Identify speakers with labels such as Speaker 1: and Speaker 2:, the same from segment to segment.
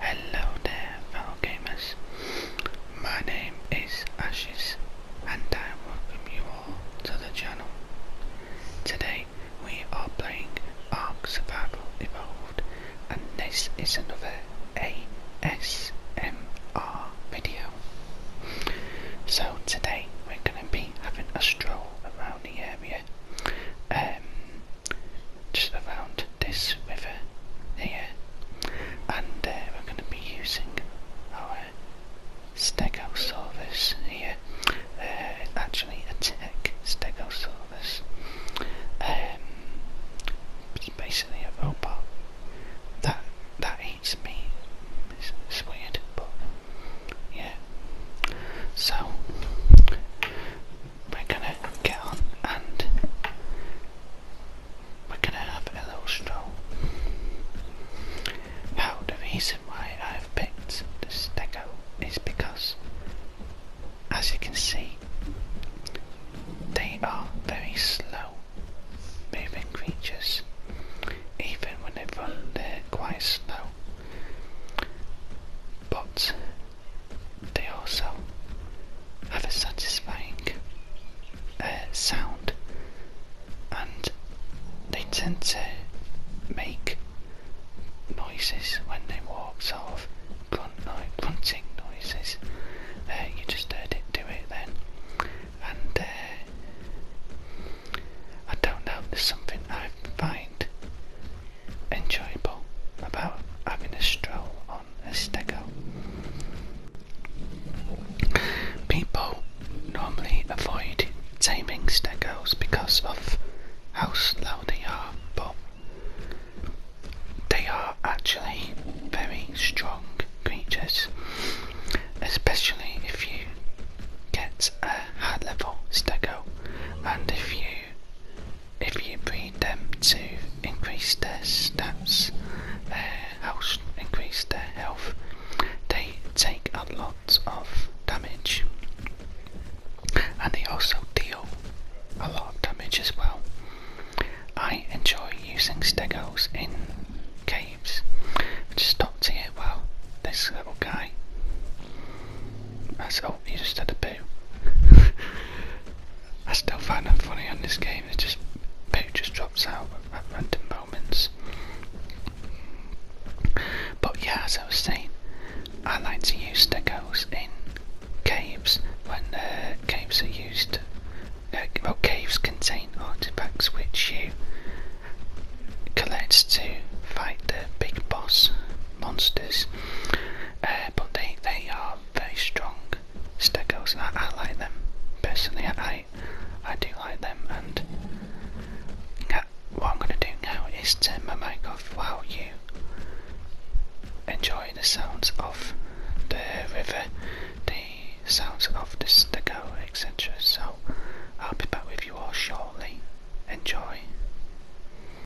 Speaker 1: Hello there fellow gamers, my name is Ashes and I welcome you all to the channel. Today we are playing Ark Survival Evolved and this is another ASMR video. So today we're going to be having a stroll around the area. Um, just around this river here and uh, we're going to be using our stegosaurus here uh, actually a tech stegosaurus um, it's basically a robot that that eats meat it's weird but yeah so we're gonna get on and we're gonna have a little stroll. Now, the reason why I've picked the stego is because, as you can see, they are very slow moving creatures. Even when they run, they're quite slow. But they also have a satisfying uh, sound and they tend to make noises when they walk, sort of grunt no grunting noises. Uh, you just heard it do it then. And uh, I don't know, there's something I find enjoyable about having a stroll on a Estego. People normally avoid taming stegos because of how slow they are, but they are actually very strong creatures, especially if you get a high level stego and if you if you breed them to increase their stats, their health, increase their health, they take a lot of damage and they also deal a lot of damage as well. I enjoy using stegos in caves. I just stopped here, well, this little guy that's, oh, you just had a poo. I still find that funny on this game. It just poo just drops out at random moments. But yeah, as I was saying, I like to use stegos in caves when uh, caves are used. Uh, well, caves contain artifacts which you collect to fight the big boss monsters, uh, but they they are very strong stegos, I, like them personally. I I do like them, and what I'm going to do now is turn my mic off while you enjoy the sounds of the river, the sounds of the stego, etc. So I'll be back with you all shortly. Enjoy.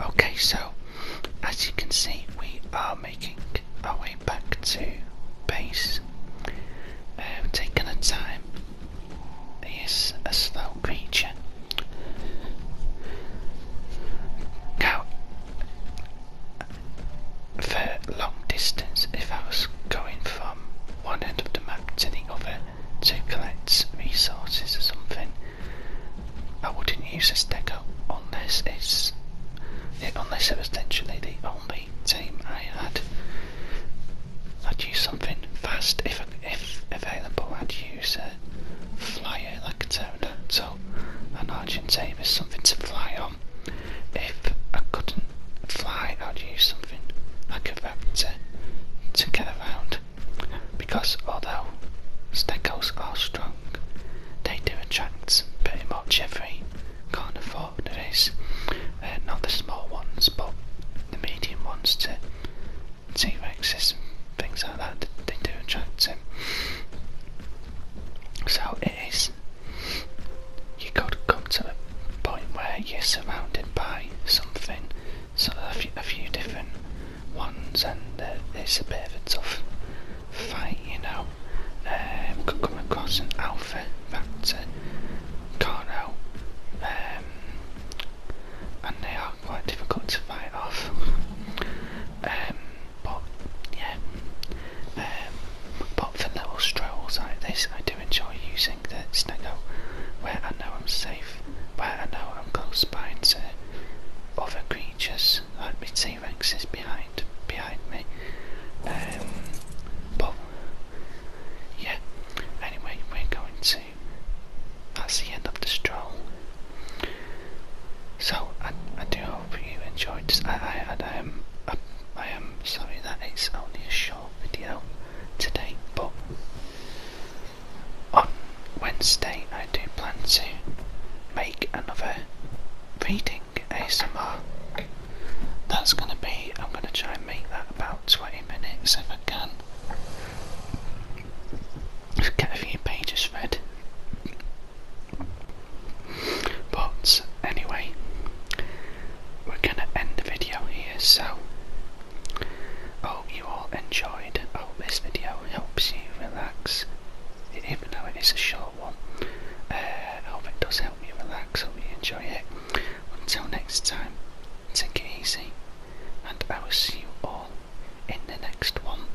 Speaker 1: Okay, so as you can see, we are making our way back to base. Uh, taking our time. He is a slow creature. Now, for long distance if I was going from one end of the map to the other to collect resources or something. I wouldn't use a stacker unless it's unless it was literally the only team I had. I'd use something fast if if available. I'd use a flyer like a So an Argentavis, something to fly on if I couldn't fly, I'd use something like a vector to get around because although stegos are strong, they do attract pretty much every kind of frog there is. Uh, not the small ones, but the medium ones to T Rexes and things like that, they do attract them. So it is you got to come to a point where you're surrounded by something, so a few, different ones, and uh, it's a bit of a tough fight,
Speaker 2: you know. Um, could come across an
Speaker 1: alpha can't help, um, and they are quite difficult to fight off. Um, but yeah, um, but for little strolls like this, I do enjoy using the snuggle where I know I'm safe, where I know I'm close by to other creatures I my T Rex is behind, behind me. Um, but yeah, anyway, we're going to. That's the end of the stroll. So I, I do hope you enjoyed I, am I am sorry that it's only a short video today, but on Wednesday I do plan to make another reading ASMR. That's gonna be I'm gonna try and make that about 20 minutes if I can. Get a few pages read. But anyway, we're gonna end the video here. So, hope you all enjoyed. Hope this video helps you relax, even though it is a short one. Uh, hope it does help you relax. Hope you enjoy it. Until next time, take it easy, and I will see you all in the next one.